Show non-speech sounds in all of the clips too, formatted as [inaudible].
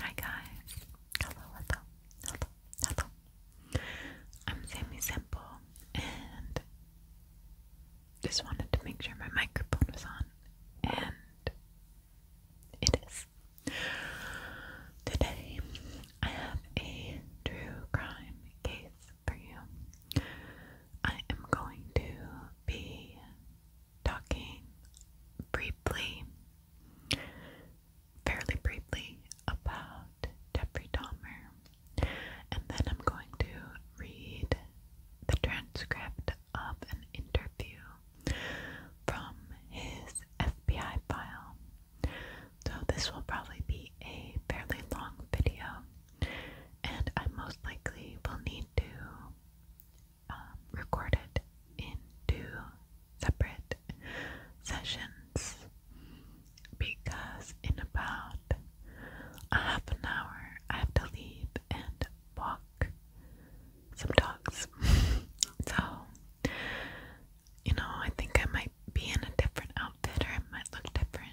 Hi guys, hello, hello, hello, hello. I'm Sammy Simple, and just wanted to make sure my microphone was on, and it is. Today, I have a true crime case for you. I am going to be talking briefly fairly briefly about Jeffrey Dahmer, and then I'm going to read the transcript of an interview from his FBI file. So, this will probably be a fairly long video, and I most likely will need to um, recorded in separate sessions because in about a half an hour I have to leave and walk some dogs. [laughs] so, you know, I think I might be in a different outfit or it might look different,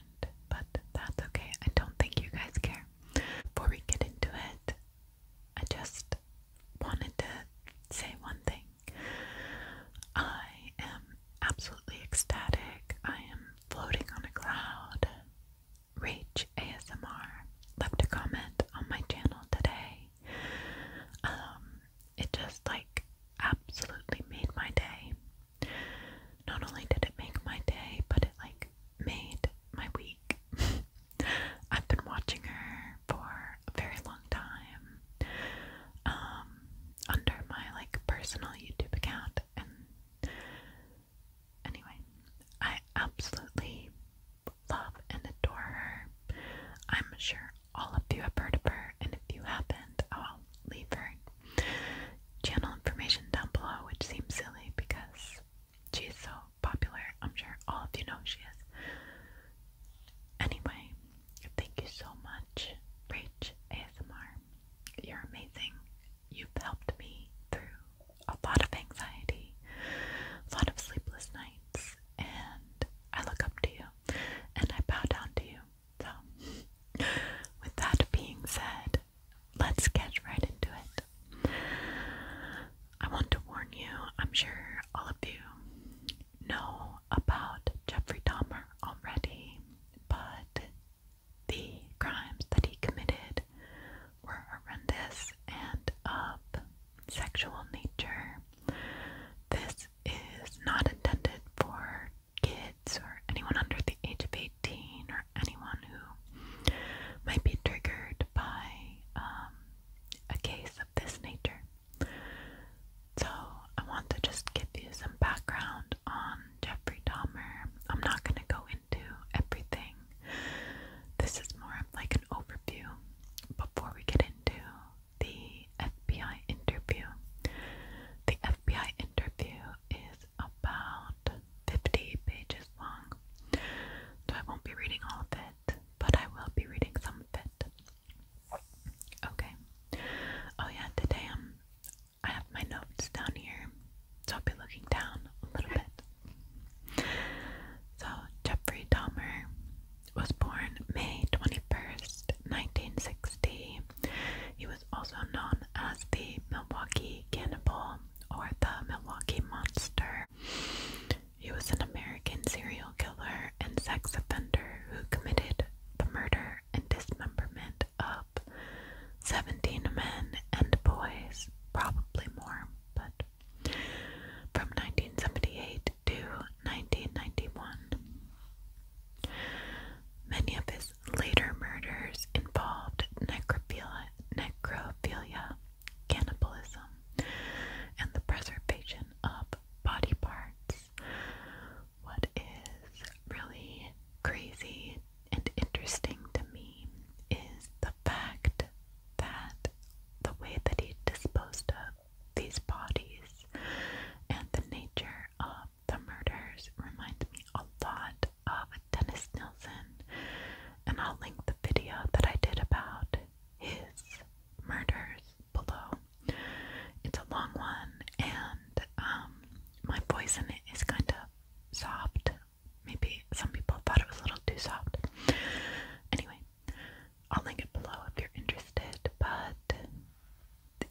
but that's okay. I don't think you guys care. Before we get into it, I just wanted to say one thing. I am absolutely ecstatic. I am floating on a cloud. Reach ASMR left a comment on my channel today. Um, it just like absolutely made my day. Not only did it make my day, but it like made my week. [laughs] I've been watching her for a very long time um, under my like personal YouTube account and anyway, I absolutely love and adore her. I'm sure all of you have heard of her and if you haven't, I'll leave her channel information down below which seems silly because she's so popular. I'm sure all of you know who she is. Anyway, thank you so much, Rach ASMR. You're amazing. You've helped me through a lot of anxiety, a lot of sleepless nights, and I look up to you and I bow down to you. So, with that being said, let's get right into it. I want to warn you, I'm sure all of you know about Jeffrey Dahmer already, but the crimes that he committed were horrendous and of sexual nature. This is not intended for kids or anyone under the age of 18 or anyone who might be triggered by um, a case this nature. So, I want to just give you some background on Jeffrey Dahmer. I'm not going to go into everything, this is more of like an overview before we get into the FBI interview. The FBI interview is about 50 pages long, so I won't be reading all of it but I will be reading some of it. Okay. Oh yeah, today um, I have my notes down here, so I'll be looking down a little bit. So Jeffrey Dahmer was born May 21st, 1960. He was also known as the Milwaukee Cannibal or the Milwaukee Monster. He was an American serial killer and sex offender who committed the murder and dismemberment of 17 men and boys, probably more, but from 1978 to 1991. Many of his later murders involved necrophilia, cannibalism, and the preservation of body parts. What is really crazy and interesting to me is the fact that the way that he disposed of these bodies and the nature of the murders remind me a lot of Dennis Nilsson, and I'll link the video that I did about his murders below. It's a long one, and um, my voice in it is kind of soft. Maybe some people thought it was a little too soft. Anyway, I'll link it below if you're interested. But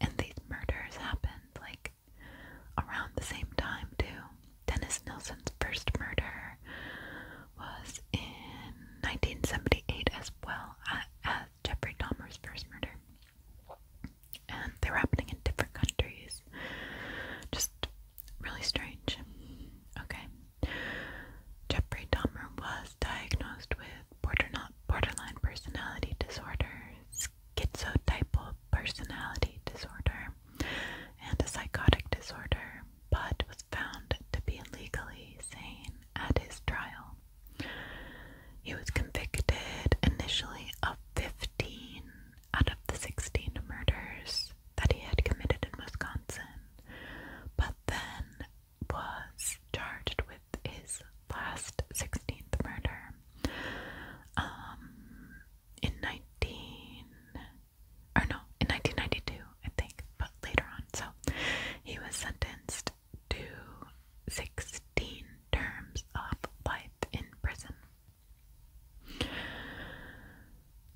and these murders happened like around the same time too. Dennis Nilsson's first murder was in 1978 as well as Jeffrey Dahmer's first murder. And they were happening in different countries. Just really strange. Okay. Jeffrey Dahmer was diagnosed with border borderline personality disorder, schizotypal personality disorder, and a psychotic disorder but was found to be legally sane at his trial. He was convicted initially of 15 out of the 16 murders that he had committed in Wisconsin, but then was charged with his last 16th murder. Um, in 19 or no, in 1992, I think, but later on. So he was sentenced to 16 terms of life in prison.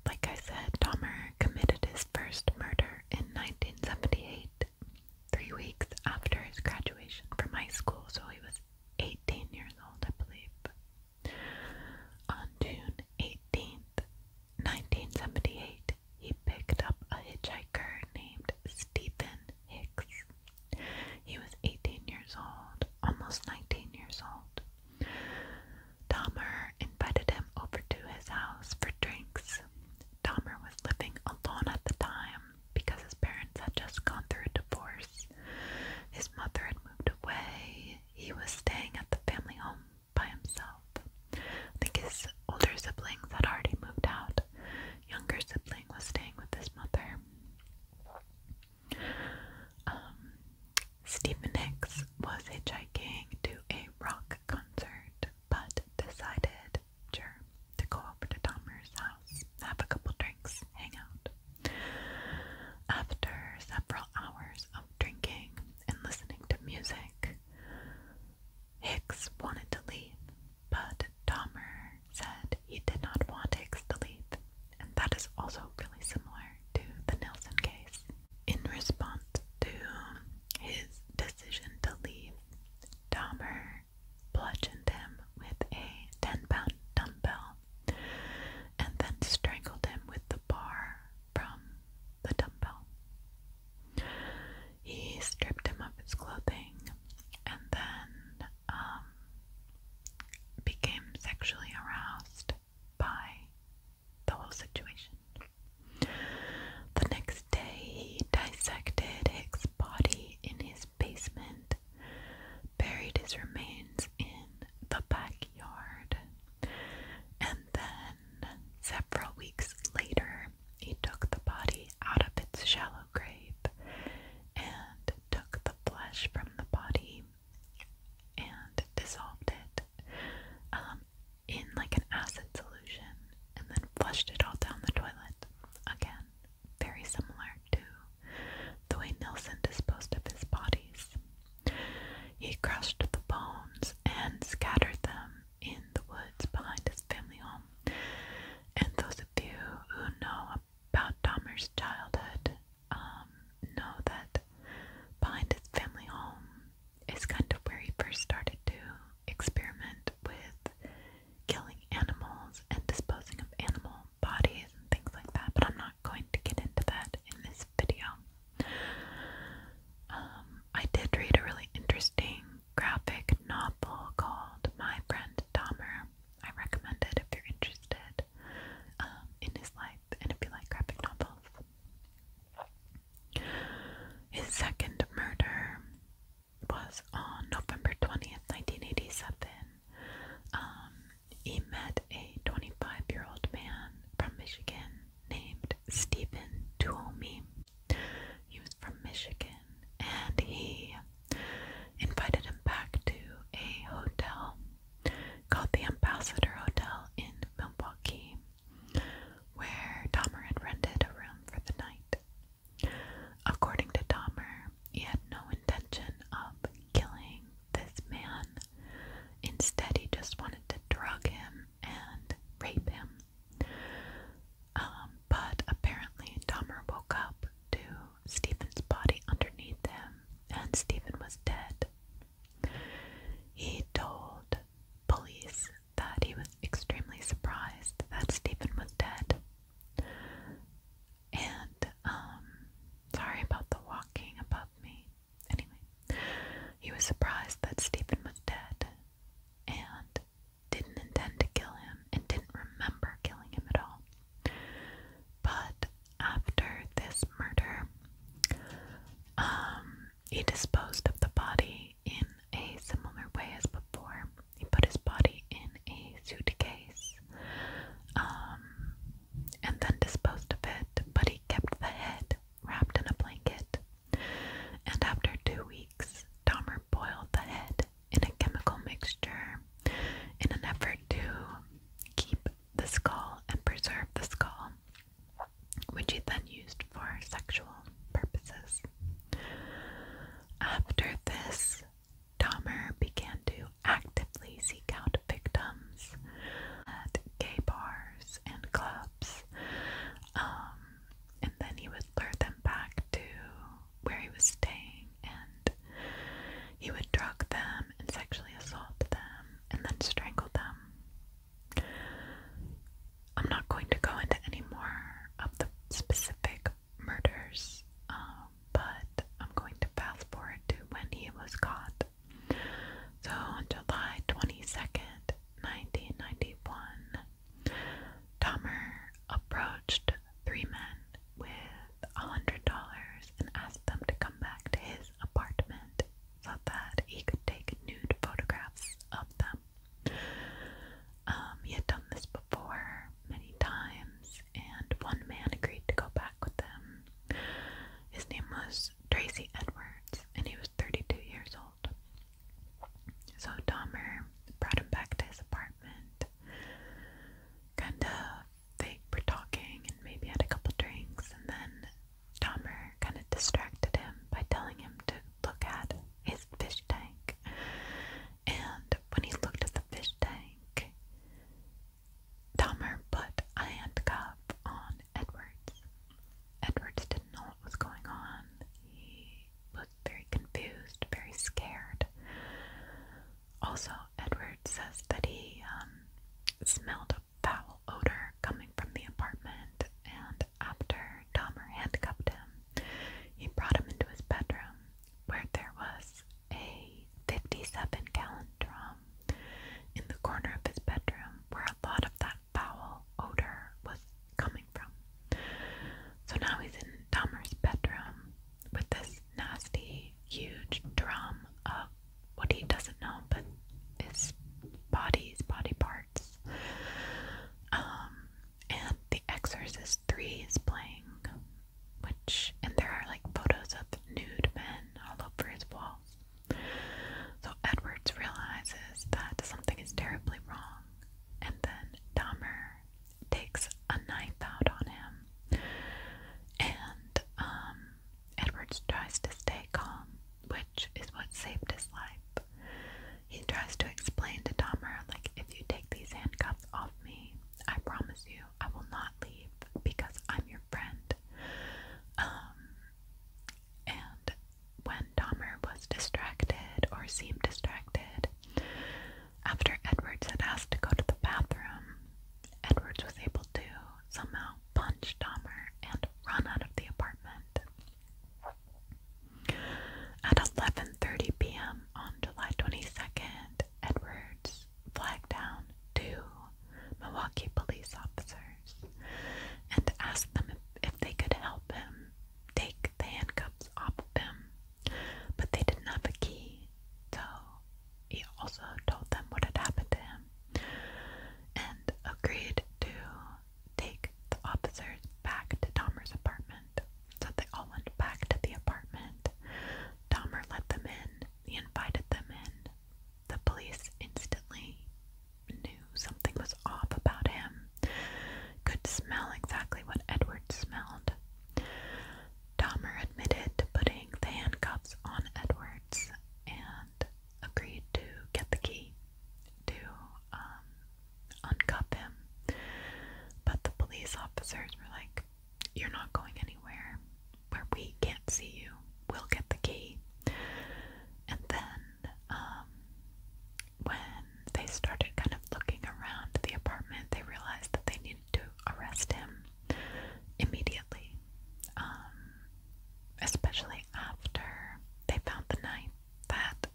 Like I said, Dahmer committed his first murder in 1978, three weeks after his graduation from high school, so he was 18 years old, I believe. On June 18th, 1978, he picked up a hitchhiker named Stephen Hicks. He was 18 years old, almost 19 years old. Dahmer invited him over to his house for drinks. Dahmer was living alone at the time because his parents had just gone through a divorce. His mother had moved away. He was staying at the family home by himself. I think his older siblings had already moved out. Younger sibling was staying with his mother. Um, Stephen Hicks was hitchhiking to a rock concert, but decided to go over to Dahmer's house, have a couple drinks, hang out. After several hours of drinking and listening to music, Hicks wanted to leave, but Dahmer said he did not want Hicks to leave, and that is also really similar to the Nelson case. In response to his decision to leave, Dahmer bludgeoned him with a 10 pound dumbbell and then strangled him with the bar from the dumbbell. He stripped him of his clothing and then um, became sexually aroused by the whole situation. The next day, he dissected his body in his basement, buried his remains in the backyard, and then several weeks later, he took the body out of its shallow grave and took the flesh from the body and dissolved it um, in like an acid solution and then flushed it all down the toilet. Again, very similar to the way Nelson disposed of his bodies. He crushed the bones and scattered them in the woods behind his family home. And those of you who know about Dahmer's childhood um, know that behind his family home is kind of where he first started to experiment with killing animals and disposing of animal bodies and things like that, but I'm not going to get into that in this video. Um, I did read a really interesting graphic novel called My Friend Dahmer. I recommend it if you're interested um, in his life and if you like graphic novels. His second murder was on November 20th, 1987. Um, he met a 25 year old man from Michigan named Stephen Tuomi. He was from Michigan and he invited him back to a hotel called the Ambassador Hotel in Milwaukee, where Dahmer had rented a room for the night. According to Dahmer, he had no intention of killing this man. Instead, he just wanted to drug him and rape him. Um, but apparently, Dahmer woke up to Stephen's body underneath him, and Stephen was dead. He told police that he was extremely surprised that Stephen was dead. And, um, sorry about the walking above me. Anyway, he was surprised that Stephen was dead, and didn't intend to kill him and didn't remember killing him at all. But after this murder, um, he disposed of the body in a similar way as before. He put his body in a suitcase um, and then disposed of it, but he kept the head wrapped in a blanket and after two weeks, Dahmer boiled the head in a chemical mixture in an effort to keep the skull and preserve the skull, which he then used for sexual purposes. After this, Dahmer began to actively seek out victims at gay bars and clubs. Um, and then he would lure them back to where he was staying and he would drug them and sexually assault them and then strangle them. I'm not going to go into any more of the specific murders, um, but I'm going to fast forward to when he was caught. So on July 22nd, 1991, Dahmer approached three men with a hundred dollars and asked them to come back to his apartment so that he could take nude photographs of them. Um, he had done this before many times, and one man agreed to go back with them. His name was Tracy Edwards, and he was 32 years old. So Dahmer brought him back to his apartment. Kinda they were talking and maybe had a couple drinks and then Dahmer kinda distracted him by telling him to look at his fish tank. And when he looked at the fish tank, Dahmer put a handcuff on Edwards. Edwards didn't know what was going on. He looked very confused, very scared. Also, Edward says that he um, smelled a foul odor coming from the apartment, and after Dahmer handcuffed him, he brought him into his bedroom where there was a 57 gallon drum in the corner of his bedroom where a lot of that foul odor was coming from. So now he's in Dahmer's bedroom with this nasty, huge drum of what he doesn't know, but his body's body parts. Um, and The Exorcist 3 is playing, which, and there are like photos of nude men all over his walls. So Edwards realizes that something is terribly wrong, and then Dahmer takes a knife out on him. And um, Edwards tries to stay calm, which is what saved his life. He tries to explain to Dahmer, like, if you take these handcuffs off me, I promise you I will not leave because I'm your friend. Um, and when Dahmer was distracted or seemed distracted, after Edwards had asked to go to the bathroom, Edwards was able to somehow punch Dahmer and run out of the apartment. At 11:30 p.m. on July 22nd, Edwards flagged down two Milwaukee police officers and asked them if, if they could help him take the handcuffs off of him, but they didn't have a key, so he also told them what had happened to him and agreed to take the officers back to Dahmer's apartment. So they all went back to the apartment. Dahmer let them in, he invited them in. The police instantly knew something was off about him could smell exactly what Edward smelled. Dahmer admitted putting the handcuffs on Edwards and agreed to get the key to um, uncuff him. But the police officers were like, You're not going anywhere where we can't see you. We'll get the key. And then um, when they started kind of looking around the apartment, they realized that they needed to arrest him immediately. Um, especially after they found the knife that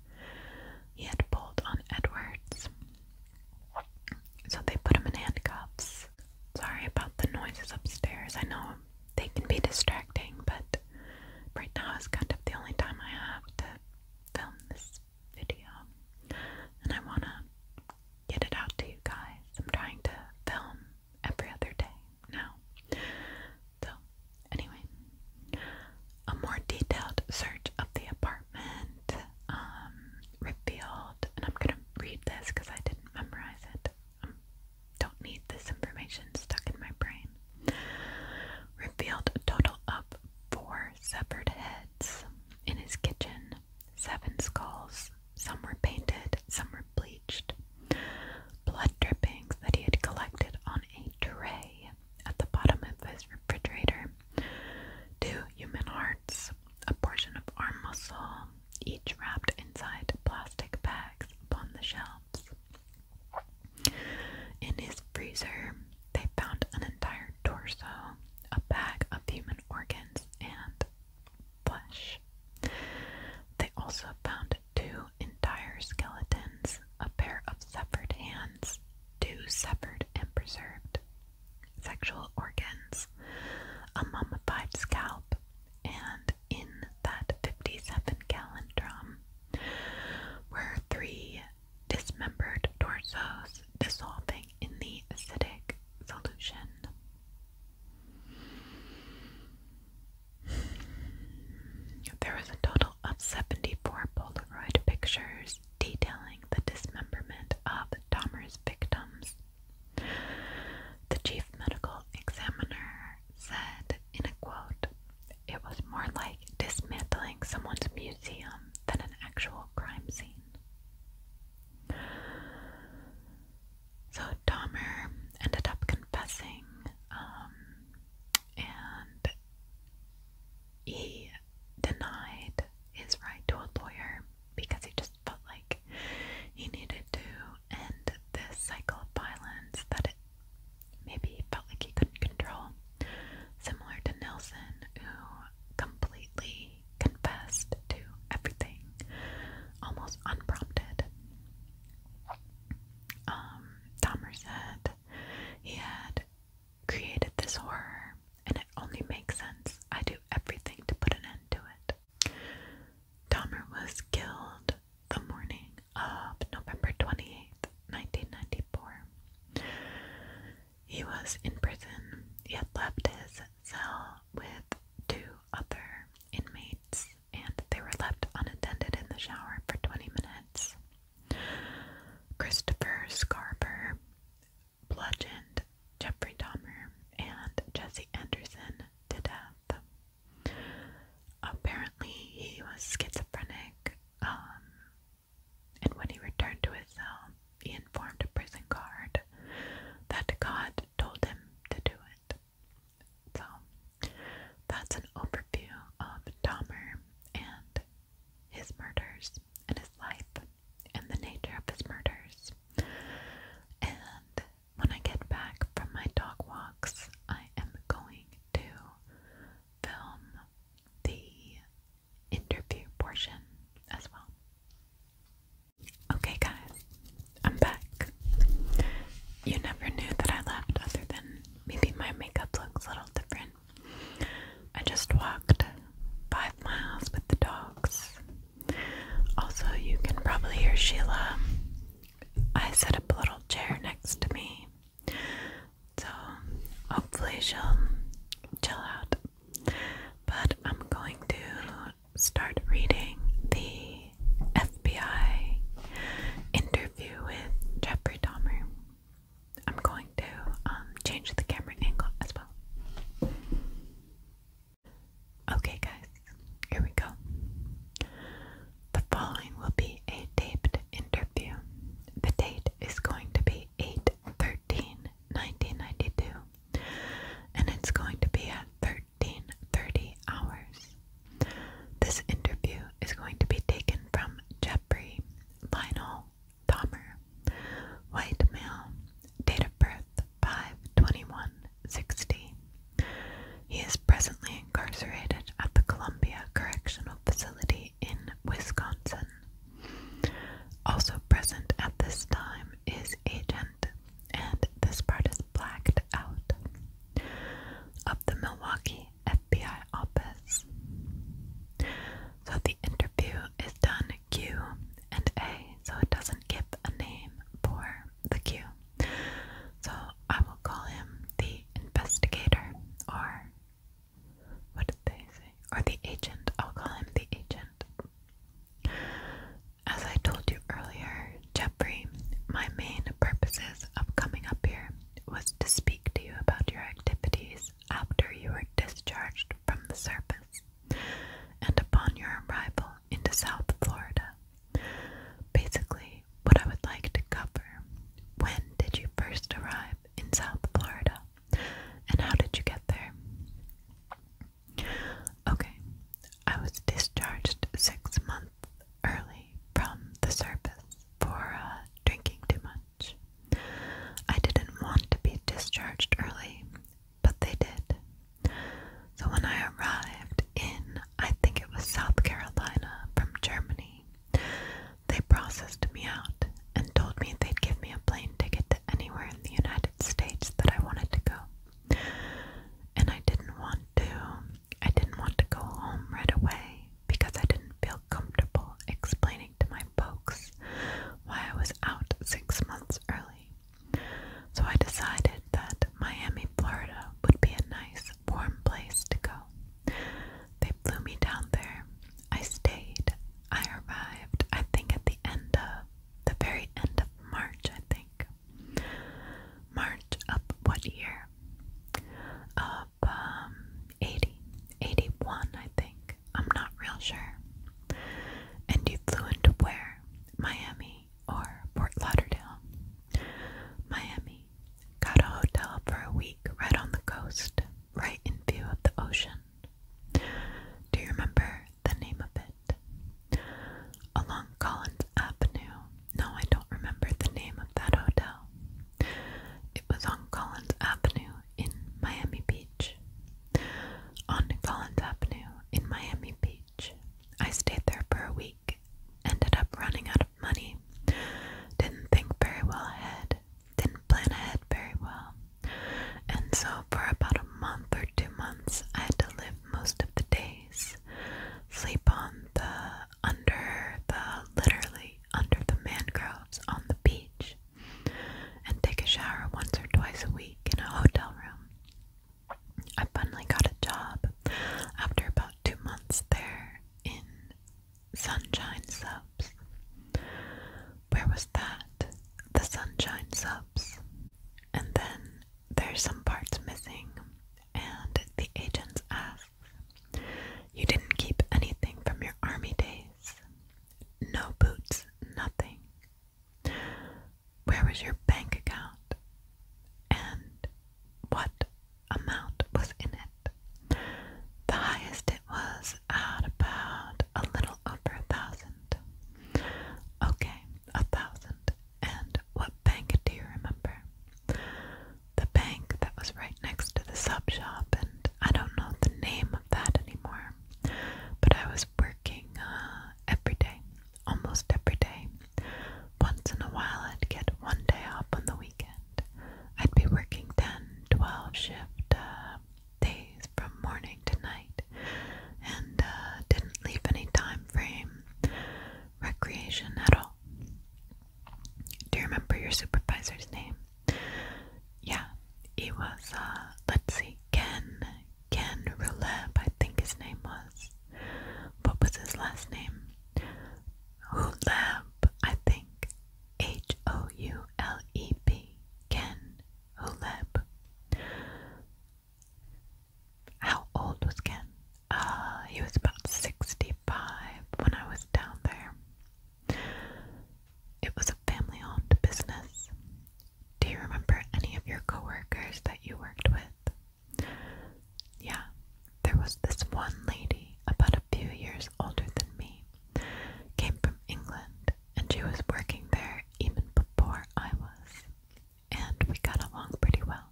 he had pulled on Edwards. So they put him in handcuffs. Sorry about the noises upstairs. I know they can be distracting, but right now is kind of the only time I have to film this video and I want to get it out to you guys. I'm trying to film every other day now. So, anyway, a more detailed search of the apartment um, revealed, and I'm going to read this because I didn't memorize it. I um, don't need this information stuck in my brain. Revealed total up four four severed heads in his kitchen, seven skulls. Some were painted, some were bleached. Blood drippings that he had collected on a tray at the bottom of his refrigerator. Two human hearts, a portion of arm muscle, each wrapped inside plastic bags upon the shelves. In his freezer, they found an entire torso, a bag of human organs, and flesh. They also found two entire skeletons, a pair of severed hands, two severed and preserved sexual organs, a mummified scalp, and in that 57 gallon drum were three dismembered torsos dissolving in the acidic solution. There was a total of 74 Polaroid pictures detailing the dismemberment of Dahmer's victims. The chief medical examiner said in a quote, It was more like dismantling someone's music than an actual crime scene. So Dahmer ended up confessing, um, and he denied his right to a lawyer because he just felt like he needed to end this cycle of violence that maybe he felt like he couldn't control. Similar to Nelson, who completely confessed to everything, almost unprompted. Um, said he had created this horror, and it only makes sense I do everything to put an end to it. Dahmer was killed the morning of November 28th, 1994. He was in prison, yet left his cell with two other inmates, and they were left unattended in the shower for 20 minutes. Christopher Scarber bludgeoned Jeffrey Dahmer and Jesse Anderson to death. Apparently, he was schizophrenic. Um, and when he returned to his cell, he informed a prison guard that God told him to do it. So, that's an overview of Dahmer and his murders and his life and the nature of his murders. And when I get back from my dog walks, I am going to film the interview portion as well. Okay, guys, I'm back. You never knew that I left, other than maybe my makeup looks a little different. I just walked five miles with the dogs. Also, you can probably hear Sheila. I set up a little chair next to me. So, hopefully, she'll chill out but I'm going to start reading the FBI interview with Jeffrey Dahmer. I'm going to um, change the camera angle as well. Okay, guys, here we go. The following will be a taped interview. The date is going to be 8:30 1992, and it's going to be at 1330 hours. This interview is going to be taken from Jeffrey Lionel Dahmer, white male, date of birth 52160. He is presently incarcerated at the Columbia Correctional Facility in Wisconsin also present at this time is Agent, and this part is blacked out of the Milwaukee FBI office. So the interview is done Q and A, so it doesn't give a name for the Q. So I will call him the investigator or what did they say? Or the agent. I'll call him the agent. As I told you earlier, Jeffrey, my main purposes of coming up here was to speak to you about your activities after you were discharged from the service and upon your arrival into South Florida. Basically, what I would like to cover. When did you first arrive in South Florida? And how did you get there? Okay, I was discharged six months early from the service for uh, drinking too much. I didn't want to be discharged early, but they did. So when I arrived in, I think it was South Carolina from Germany, they processed me out and told me they'd give me a plane ticket anywhere in the United States that I wanted to go. And I didn't want to. I didn't want to go home right away because I didn't feel comfortable explaining to my folks why I was out six months early. So I decided that Miami, Florida would be a nice, warm place to go. They flew me down there. I stayed. I arrived, I think, at the end of the very end of March, I think. March of what year? Of um, 80, 81, I think. I'm not real sure. And you flew into where? Miami or Fort Lauderdale? Miami. Got a hotel for a week right on the coast, right in view of the ocean. Do you remember the name of it. Along Collins Avenue. No, I don't remember the name of that hotel. It was on Collins Avenue in Miami Beach. On Collins Avenue in Miami Beach. I stayed there for a week. Ended up running out of money. Didn't think very well ahead. Didn't plan ahead very well. And so, for about a month or two months, I had to live most of the days, sleep on the under the literally under the mangroves on the beach, and take a shower once or twice a week in a hotel room. I finally got a job after about two months there in Sunshine Subs. Where was that? The sunshine subs. And then there's some parts missing, and the agents ask, You didn't keep anything from your army days? No boots, nothing. Where was your bank account? And what amount was in it? The highest it was at about a little over a thousand. Okay, a thousand. And what bank do you remember? The bank that was right next to the sub shop, and I don't know the name of that anymore. But I was working uh, every day, almost every day. Once in a while, I'd get one day off on the weekend. I'd be working 10, 12 shift uh, days from morning to night and uh, didn't leave any time frame recreation at all. Do you remember your supervisor's name? Yeah, he was, uh, let's see, Ken, Ken Ruleb, I think his name was. What was his last name? Huleb, I think. H O U L E B, Ken Huleb. How old was Ken? Uh, he was about 65 when I was down there. It was a family owned business. Do you remember any of your coworkers that you worked with? Yeah, there was this one lady about a few years older than me. Came from England and she was working there even before I was. And we got along pretty well.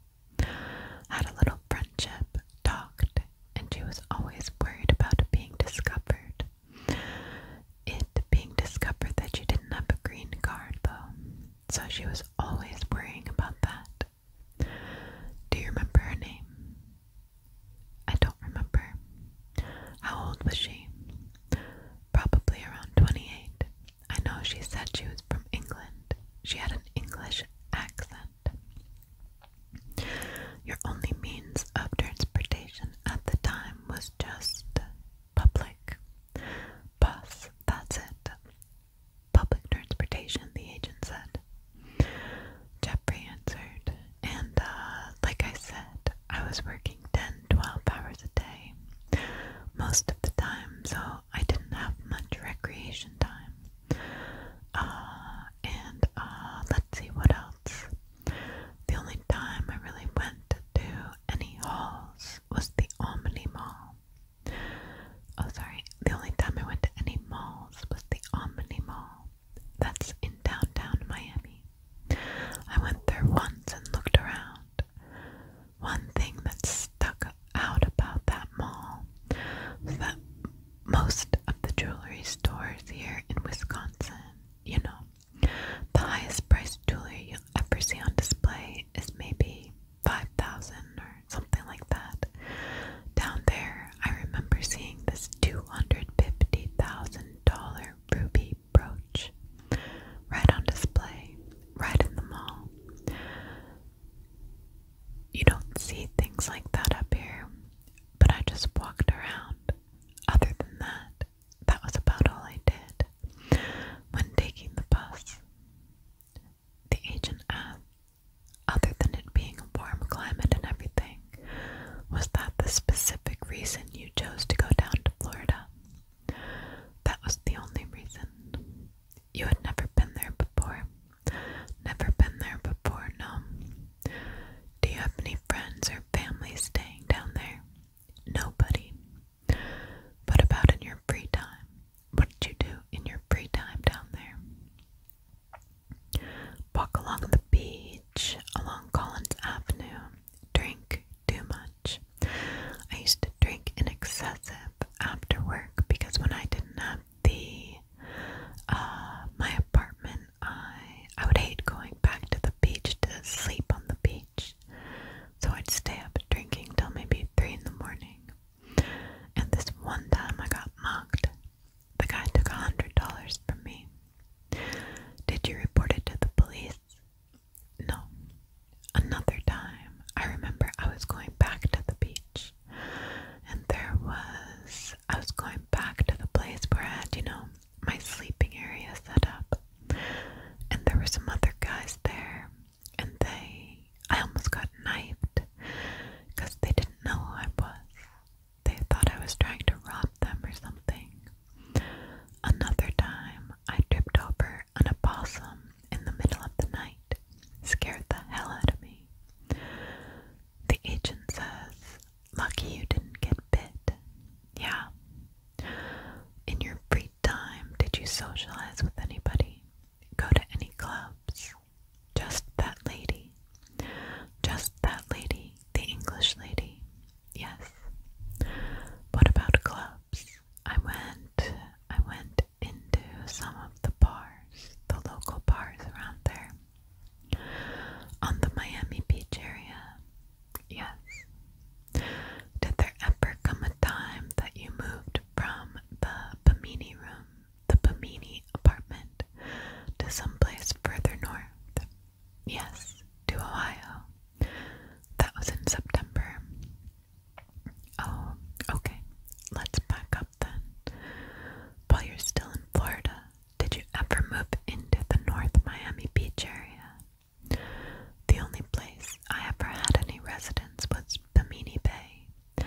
Had a little friendship, talked, and she was always worried about being discovered. It being discovered that she didn't have a green card, though, so she was always worrying about that. Do you remember her name? I don't remember. How old was she? probably around 28. I know she said she was from England. She had an English accent. Your only means of transportation at the time was just public. Bus, that's it. Public transportation, the agent said. Jeffrey answered, and uh, like I said, I was working working 10 12 hours a day most of the time, so I didn't have much recreation time. Uh, and uh, let's see what else. The only time I really went to any halls was the Omni Mall. Oh, sorry. The only time I went to any malls was the Omni Mall. That's in downtown Miami. I went there once and looked around. One thing that stuck out about that mall was that most of the jewelry stores here in Wisconsin, you know, the highest priced jewelry you'll ever see on display is maybe 5000 or something like that. Down there, I remember seeing this $250,000 ruby brooch, right on display, right in the mall. You don't see things like that up here, but I just walked around. Other than that, that was about all I did. When taking the bus, the agent asked, other than it being a warm climate and everything, was that the specific reason you chose to go down to Florida? That was the only reason. You had never been there before. Never been there before, no. Do you have any friends or family staying down there? Nobody. What about in your free time? What did you do in your free time down there? Walk along the beach, along Collins Avenue, drink too much. I used to drink in excessive after work because when I didn't have the uh, my apartment, I I would hate going back to the beach to sleep on the beach. So I'd stay up drinking till maybe three in the morning. And this one time I got mocked. The guy took a hundred dollars from me. Did you report it to the police? No. Another time, I remember I was going back to the beach, and there was, I was going back to the place where I had, you know, my sleeping area set up, and there were some other guys there, and they, I almost got knifed because they didn't know who I was. They thought I was trying to rob them or something, Another time, I tripped over an opossum in the middle of the night. Scared the hell out of me. The agent says, Lucky you didn't get bit. Yeah. In your free time, did you socialize with anybody? Go to any clubs? Just that lady. Just that lady, the English lady. Yes. What about clubs? I went I went into some of the bars, the local bars around there. On the Miami Beach area. Yes. Did there ever come a time that you moved from the Bimini room, the Bimini apartment, to someplace further north? Yes, to Ohio. That was in September. Oh, okay. Let's back up then. While you're still in Florida, did you ever move into the North Miami Beach area? The only place I ever had any residence was Bimini Bay.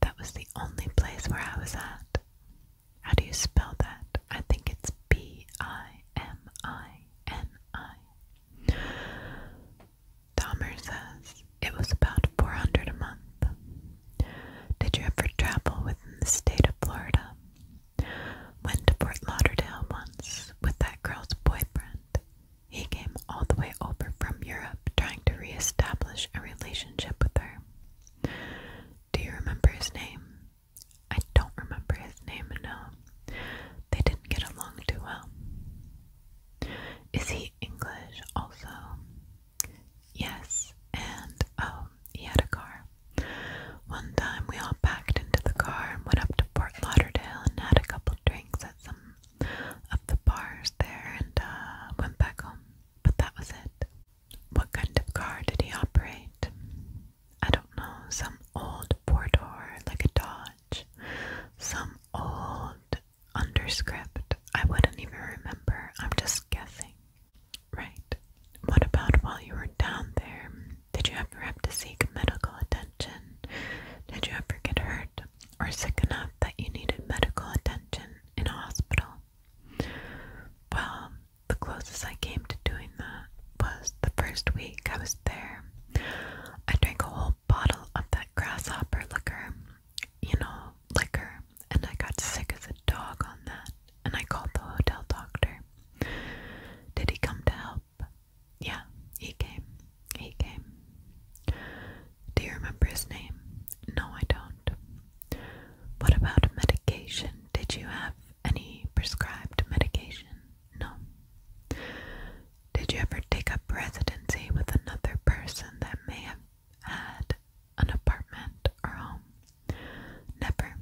That was the only place where I was at. How do you spell that? I think it's B I M I N I Dahmer says it was about 400 a month. Did you ever travel within the state of Florida? Went to Fort Lauderdale once with that girl's boyfriend. He came all the way over from Europe trying to reestablish a relationship with her. Do you remember his name? I don't remember his name, no. They didn't get along too well. Is he English also? Yes, and oh, he had a car. One time we all packed into the car and went up to Port Lauderdale and had a couple drinks at some of the bars there and uh, went back home. But that was it. What kind of car did he operate? I don't know, some old Portor, like a Dodge. Some old underscript. I wouldn't even remember. I'm just guessing. Right. What about while you were down there? Did you ever have to seek medical attention? Did you ever get hurt or sick enough that you needed medical attention in a hospital? Well, the closest I came to doing that was the first week I was there. I drank a whole bottle of that grasshopper liquor, you know, liquor, and I got sick as a dog on that, and I called the hotel doctor. Did he come to help? Yeah, he came. He came. Do you remember his name? No, I don't. What about medication? Did you have any prescribed medication? No. Did you ever take a residency with another person that may have had an apartment or home? Never.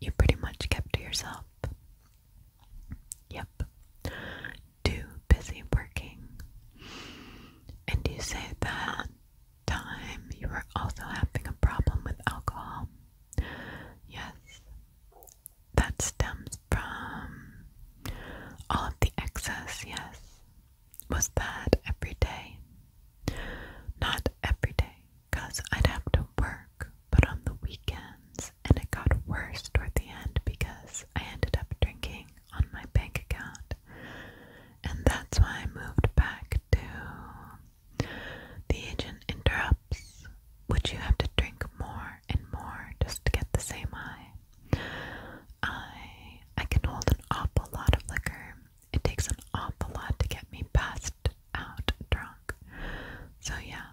You pretty much kept to yourself. Yep. Too busy working. And you say that time you were also having a problem with alcohol. Yes that stems from all of the excess, yes, was that every day. Not every day, because I'd have to work, but on the weekends, and it got worse toward the end because I ended up drinking on my bank account. And that's why I moved back to the agent in would you have to drink more and more just to get the same high? I I can hold an awful lot of liquor. It takes an awful lot to get me passed out drunk. So yeah,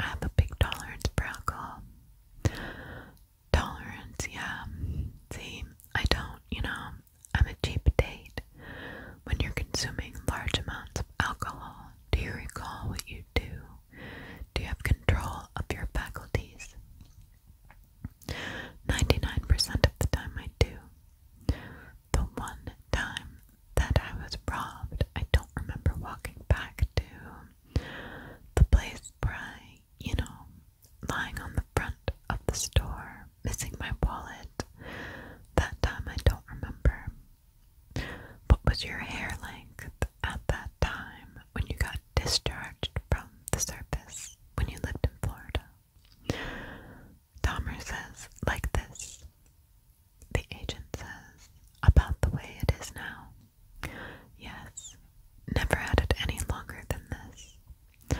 I have a big tolerance for Tolerance, yeah. See, I don't, you know, I'm a cheap date. When you're consuming large amounts of alcohol, do you recall what you do do you have control of your faculties? 99% of the time I do. The one time that I was robbed, I don't remember walking back to the place where I, you know, lying on the front of the store, missing my wallet. That time I don't remember. What was your hair length at that time when you got discharged from the surface when you lived in Florida? Dahmer says, like this. The agent says, about the way it is now. Yes, never had it any longer than this.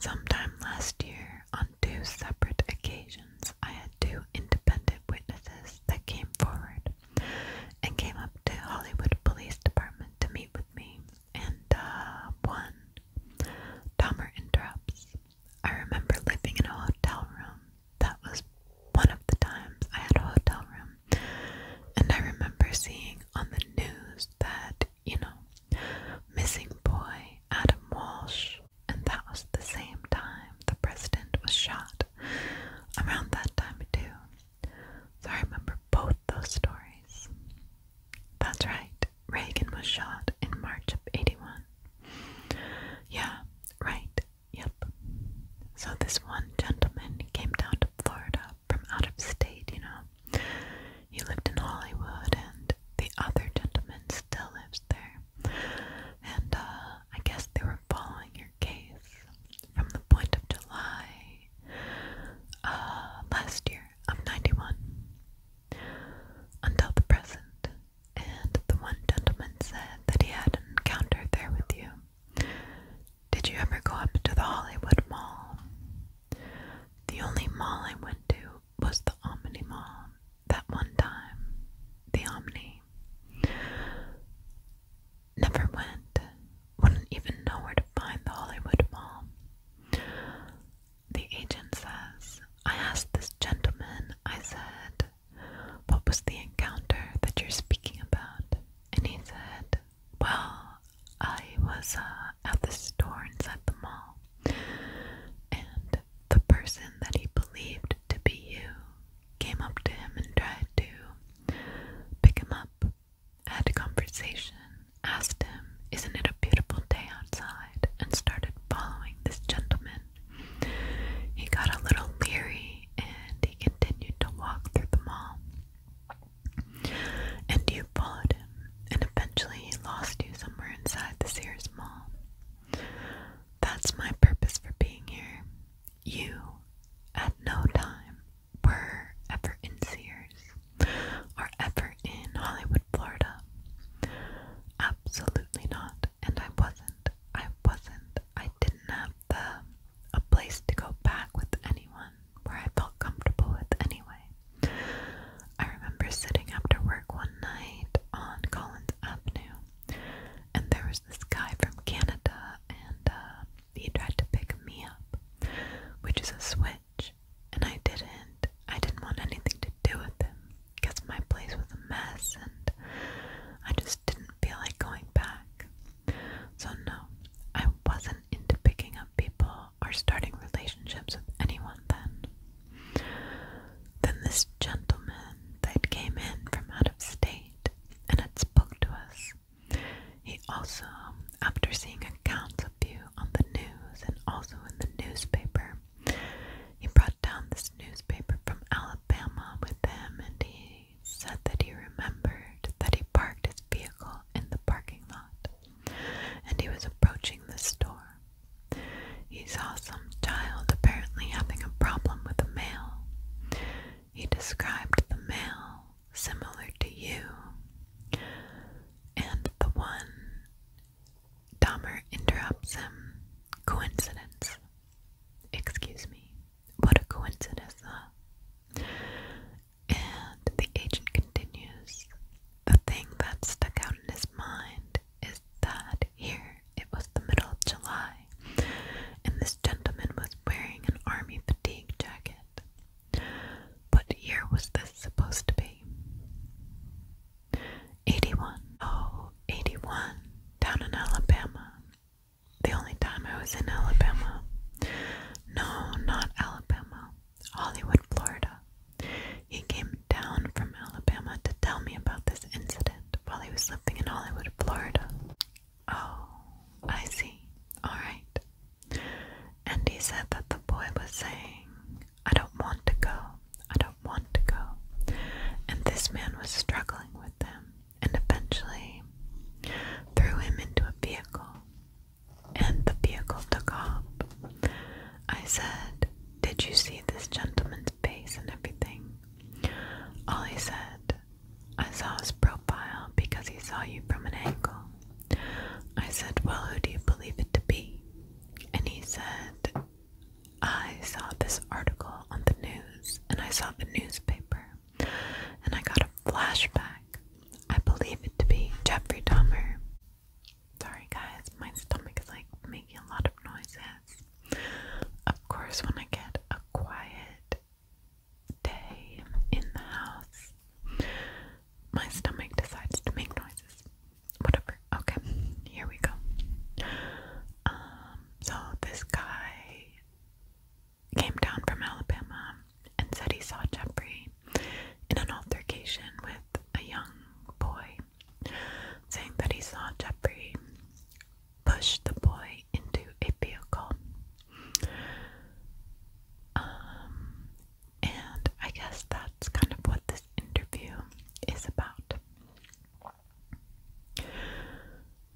Sometime last year, on two separate occasions, I had two independent witnesses that came forward and came up to Hollywood Police Department to meet with me. And uh, one, Dahmer interrupts. I remember living in a hotel room. That was one of the times I had a hotel room. And I remember seeing on the news that, you know, missing boy Adam Walsh. And that was the same time the president was shot around that time too. So I remember both those stories. That's right, Reagan was shot in March of 81. Yeah, right, yep. So this one gentleman came down to Florida from out of state, you know. He lived in Hollywood and the other gentleman still lives there. And uh, I guess they were following your case from the point of July uh, last year of 91 until the present. And the one gentleman said that he had an there with you. Did you ever go up to the Hollywood Mall? The only mall I went to was the Omni Mall that one time. The Omni. Never went, wouldn't even know where to find the Hollywood Mall. The agent says, I asked this gentleman, I said, what was the encounter that you're speaking about? And he said, Well, I was uh, at the store at the mall, and the person that he believed to be you came up to him and tried to pick him up. had a conversation, asked him, Isn't it a beautiful day outside? and started following this gentleman. He got a little leery and he continued to walk through the mall. And you followed him, and eventually he lost you somewhere inside the Sears Mall. That's my purpose for being here. You, at no time, were ever in Sears or ever in Hollywood, Florida. Absolutely not. And I wasn't. I wasn't. I didn't have the a place to go back with anyone where I felt comfortable with anyway. I remember sitting after work one night on Collins Avenue, and there was this guy from Canada, and uh, he tried to pick me up, which is a switch, and I didn't. I didn't want anything to do with him because my place was a mess and I just didn't feel like going back. So, no, I wasn't into picking up people or starting relationships with anyone then. Then this gentleman that came in from out of state and had spoke to us years. He also, um, after seeing accounts of you on the news and also in the newspaper, he brought down this newspaper from Alabama with him and he said that he remembered that he parked his vehicle in the parking lot and he was approaching the store. He saw some child apparently having a problem with the mail. He described the mail similar to you. And the one Dahmer interrupts him. Coincidence. Excuse me. What a coincidence, And the agent continues. The thing that stuck out in his mind is that here it was the middle of July, and this gentleman was wearing an army fatigue jacket. What year was this supposed to be? 81. Oh, 81. Down in Alabama. The only time I was in Alabama. No, not Alabama. Hollywood, Florida. He came down from Alabama to tell me about this incident while he was living in Hollywood, Florida. Oh, I see. Alright. And he said that the boy was saying, I don't want to go. I don't want to go. And this man was struggling with them and eventually threw him into a vehicle. And the vehicle took off. I said, Did you see this gentleman's face and everything? All he said I saw his profile because he saw you from an angle. I said, Well, who do you believe it to be? And he said, I saw this article on the news and I saw the newspaper and I got a flashback. I believe it to be Jeffrey Dahmer. Sorry, guys, my stomach is like making a lot of noises. Of course, when I get a quiet day in the house. My stomach decides to make noises. Whatever. Okay, here we go. Um, so this guy came down from Alabama and said he saw Jeffrey in an altercation with a young boy, saying that he saw Jeffrey push the boy into a vehicle um, and I guess that's kind of what this interview is about.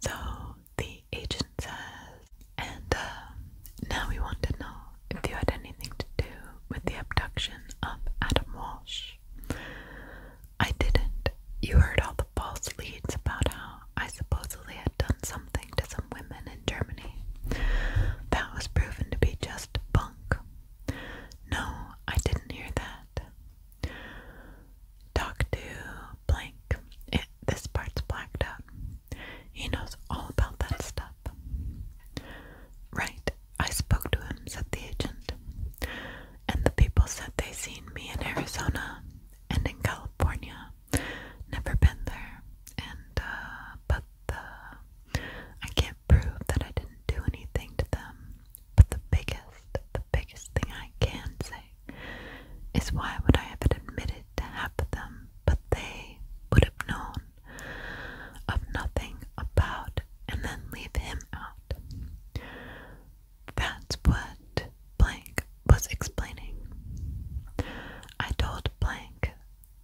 So the agent says, and uh, now we want to know if you had anything to do with the abduction of Adam Walsh. I didn't. You heard all the false leads about how I supposedly had done something to some women in Germany. That was proven to be just bunk. No, I didn't hear that. Talk to blank. this part's blacked out. He knows all about that stuff. Right, I spoke to him, said the agent. And the people said they seen me in Arizona and in California Never been there, and uh, but I can't prove that I didn't do anything to them. But the biggest, the biggest thing I can say is why would I have admitted to half of them? But they would have known of nothing about, and then leave him out. That's what blank was explaining. I told blank,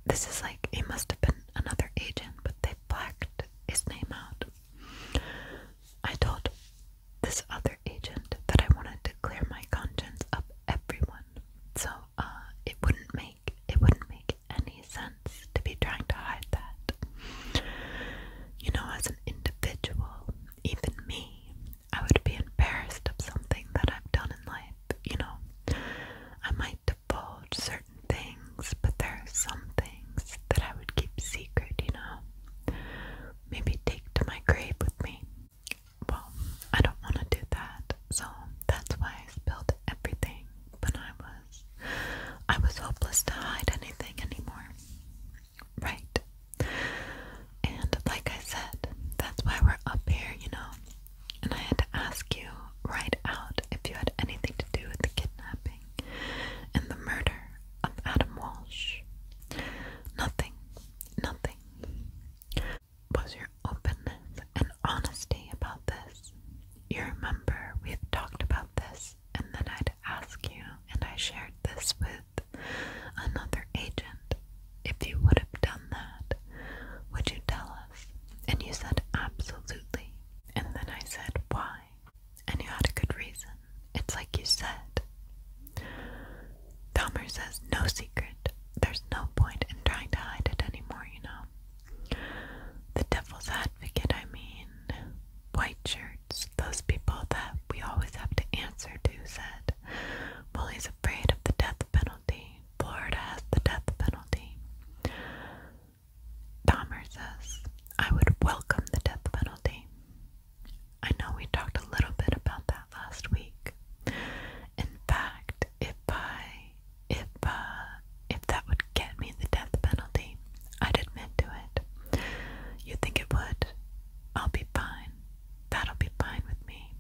this is like it must have been another agent, but they blacked his name out. I told this other agent that I wanted to clear my conscience of everyone, so uh, it wouldn't make it wouldn't make any sense to be trying to hide that. You know, as an individual, even me, I would be embarrassed of something that I've done in life, you know. I might divulge certain things, but there are some things that I would keep secret, you know. Maybe take to my grave with me. Well, I don't want to do that, so that's why I spilled everything when I was I was hopeless to hide anything anymore. Right. And like I said, that's why we're up here, you know. And I had to ask you right out if you had anything to do with the kidnapping and the murder of Adam Walsh. Nothing, nothing. Was your openness and honesty about this? You remember we've talked about this, and then I'd ask you, and I shared this with another agent if you would have done that, would you tell us? And you said, Absolutely. And then I said, Why? And you had a good reason. It's like you said. Dahmer says, No secret. There's no point in trying to hide it anymore, you know. The devil's advocate, I mean, white shirts, those people that we always have to answer to, said, Well, he's afraid of the death penalty. Florida has the death penalty. Dahmer says, I would welcome the death penalty. I know we talked a little bit about that last week. In fact, if I, if, uh, if that would get me the death penalty, I'd admit to it. You think it would? I'll be fine. That'll be fine with me.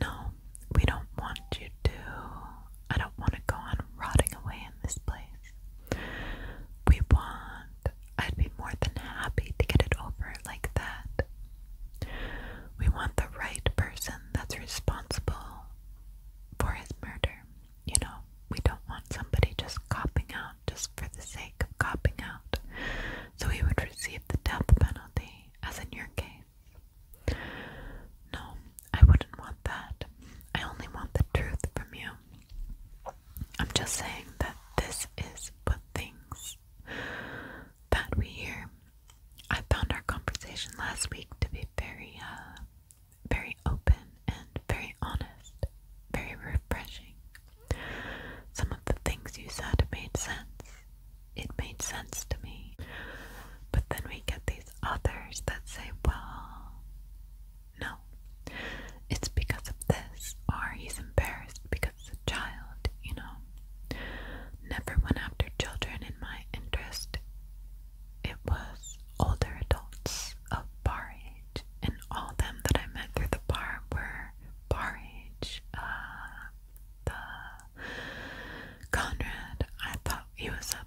No, we don't want you to. I don't want to go on rotting away in this place. We want. I'd be more than happy to get it over like that. We want the right person that's responsible for his murder. You know, we don't want somebody just copping out just for the sake of copping out. So he would receive the death penalty as in your case. No, I wouldn't want that. I only want the truth from you. I'm just saying that this is but things that we hear. I found our conversation last week to be very, uh, very open and very honest, very refreshing. Some of the things you said made sense it made sense to me. But then we get these others that say, well, no, it's because of this, or he's embarrassed because it's a child, you know. Never went after children in my interest. It was older adults of bar age, and all them that I met through the bar were bar age, uh, Conrad. I thought he was up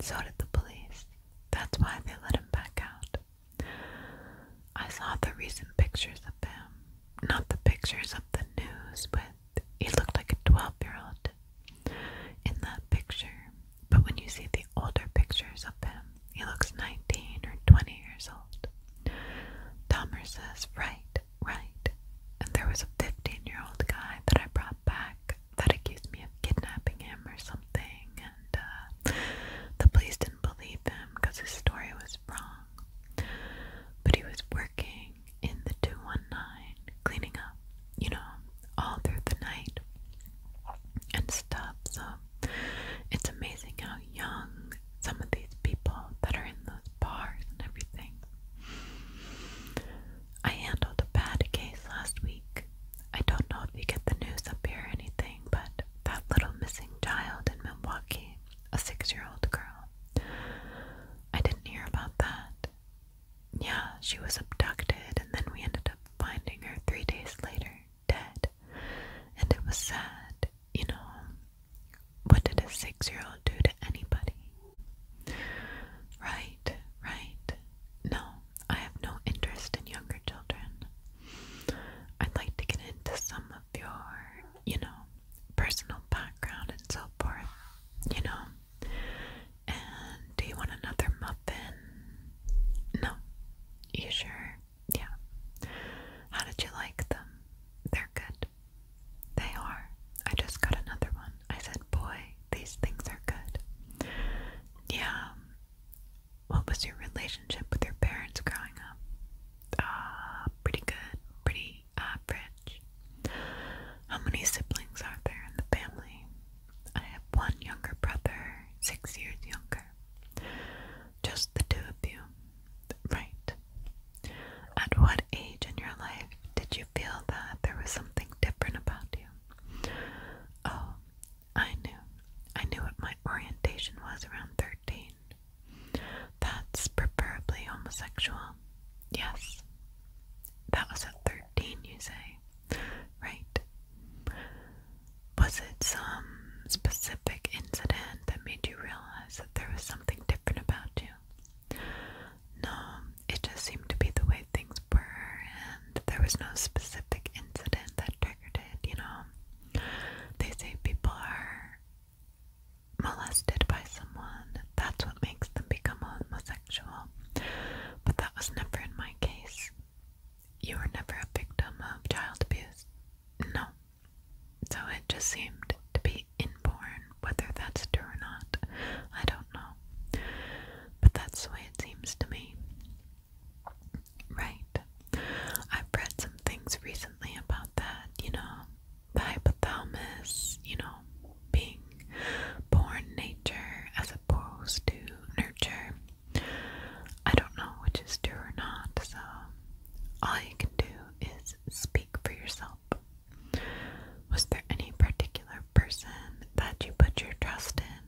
So did the police. That's why they let him back out. I saw the recent pictures of him. Not the pictures of the news, but he looked like a 12 year old in that picture. But when you see the older pictures of him, he looks 19 or 20 years old. Dahmer says, right, right. And there was a 15 year old guy that I brought back that accused me of kidnapping him or something, and uh, the police didn't believe him because his story was wrong. But he was working in the 219, cleaning up, you know, all through the night and stuff. So it's amazing how young some of these people that are in those bars and everything. I handled a bad case last week. I don't know if you get the news up here or anything, but that little missing child in Milwaukee, a six year old girl. I didn't hear about that. Yeah, she was abducted, and then we ended up finding her three days later, dead. And it was sad, you know. What did a six year old do to anybody? Right, right. No, I have no interest in younger children. I'd like to get into some of your, you know, personal background and so forth, you know. And do you want another muffin? No. You sure? Yeah. How did you like them? They're good. They are. I just got another one. I said, boy, these things are good. Yeah. Um, what was your relationship with your parents growing up? Uh, pretty good. Pretty average. Uh, How many siblings are there in the family? I have one younger brother, six years younger. Just the two of you. Right. At what age in your life did you feel that there was something different about you? Oh, I knew. I knew what my orientation was around 13. That's preferably homosexual. Yes. That was at 13, you say. Right. Was it some specific incident that made you realize that there was something different about you? No, um, it just seemed to be the way things were, and there was no specific incident that triggered it, you know. They say people are molested by someone, that's what makes them become homosexual. But that was never in my case. You were never a victim of child abuse. No. So it just seemed to be inborn. Whether that's true or not, I don't know. But that's the way it seems to me. Right. I've read some things recently about that, you know, the hypothalamus, you know, being born nature as opposed to nurture. I don't know which is true or not, so all you can do is speak for yourself. Was there any particular person that you put your trust in,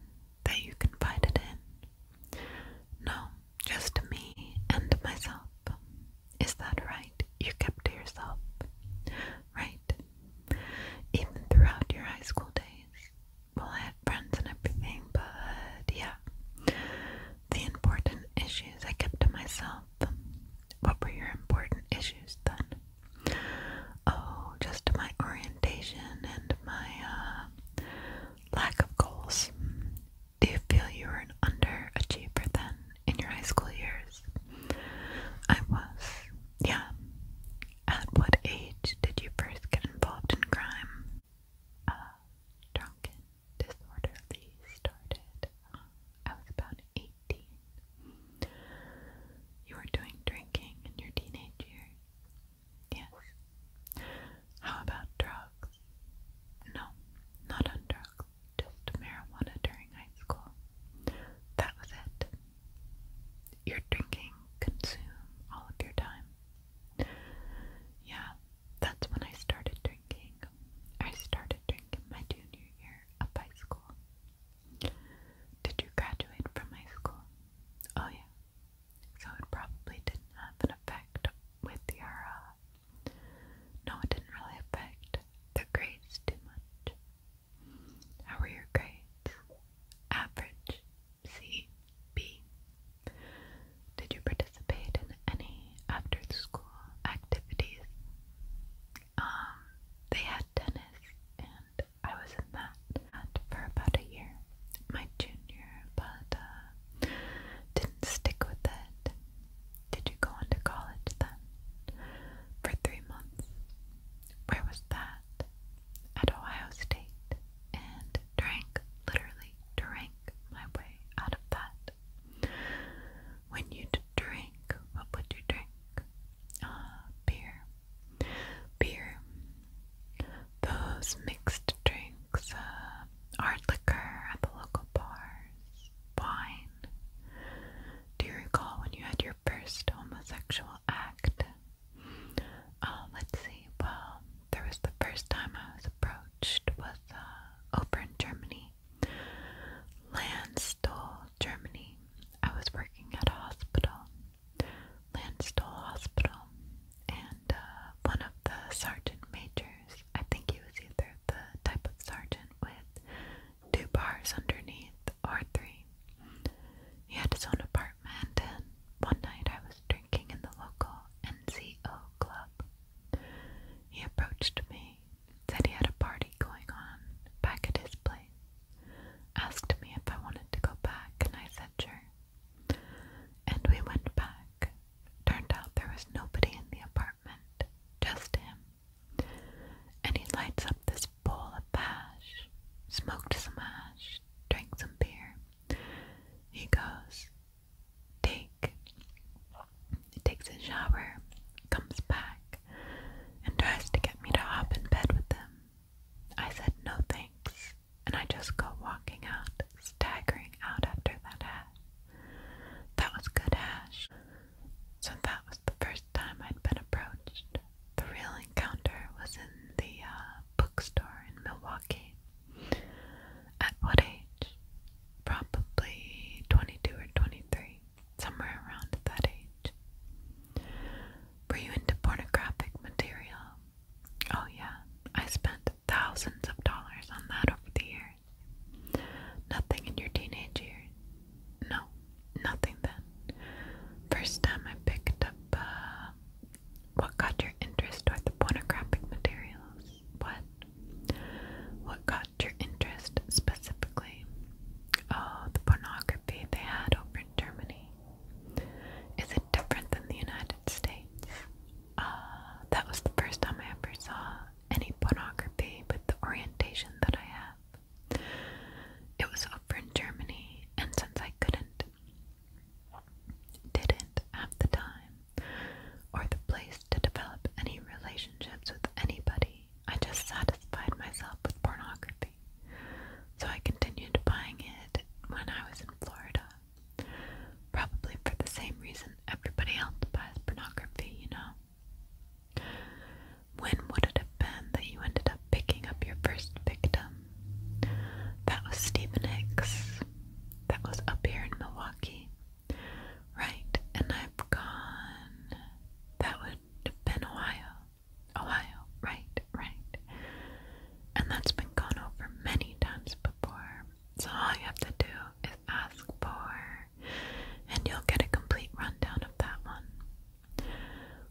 that you confided in? No, just me and myself. Is that right? You kept to yourself. Right? Even throughout your high school days. Well, I had friends and everything, but yeah. The important issues I kept to myself what were your important issues then? Oh, just my orientation and my uh, lack of goals. Do you feel you were an underachiever then in your high school years? I was. Yeah. At what age did you first get involved in crime? Uh, drunken disorderly started. I was about 18. You were doing drinking in your teenage years? Yes. How about drugs? No, not on drugs, just marijuana during high school. That was it. Your drinking consumed all of your time. Yeah, that's when I started drinking. I started drinking my junior year up high school. Did you graduate from high school? Oh, yeah. So it probably didn't have an effect with your, uh, no, it didn't really affect the grades too much. How were your grades? Average. C. B. Did you participate in any after school activities? um, they had tennis, and I was in that, for about a year, my junior, but uh, didn't stick with it. Did you go on to college then? For three months. Where was that? At Ohio State, and drank, literally drank my way out of that. When you drink, what would you drink? Ah, beer. Beer. Those mixed drinks, uh, hard liquor at the local bars, wine. Do you recall when you had your first homosexual act? Uh, let's see. Well, there was the first time I was approached was uh, over in Germany. Landstuhl Germany, I was working at a hospital, Landstuhl Hospital, and uh, one of the sergeant majors, I think he was either the type of sergeant with two bars underneath or three. He had his own apartment, and one night I was drinking in the local NCO club. He approached me Said he had a party going on back at his place. Asked me if I wanted to go back, and I said sure. And we went back. Turned out there was nobody in the apartment, just him. And he lights up this bowl of hash, smoked some hash, drank some beer. He goes, Take he takes a shower, comes back, and tries to get me to hop in bed with him. I said no thanks, and I just go walking out, staggering out after that hash. That was good hash. So that was the first time I'd been approached. The real encounter was in the uh, bookstore in Milwaukee. At what age? Probably 22 or 23 somewhere around that age. Were you into pornographic material? Oh, yeah, I spent thousands of dollars on that over the years. Nothing in your teenage years? No, nothing then. First time I picked up uh, what got your interest toward the pornographic materials? What? What got your interest specifically? Oh, the pornography they had over in Germany. Is it different than the United States? Uh, that was the first time I ever saw any pornography with the orientation that I have. It was over in Germany, and since I couldn't, didn't have the time or the place to develop any relationships with anybody, I just satisfied myself with pornography. So I continued buying it when I was in Florida. Probably for the same reason everybody else buys pornography, you know. When would it have been that you ended up picking up your first victim? That was Stephen Hicks. That was up here in Milwaukee. Right, and I've gone. That would been Ohio. Ohio, right, right. And that's been gone over many times before. So all you have to do is ask for, and you'll get a complete rundown of that one.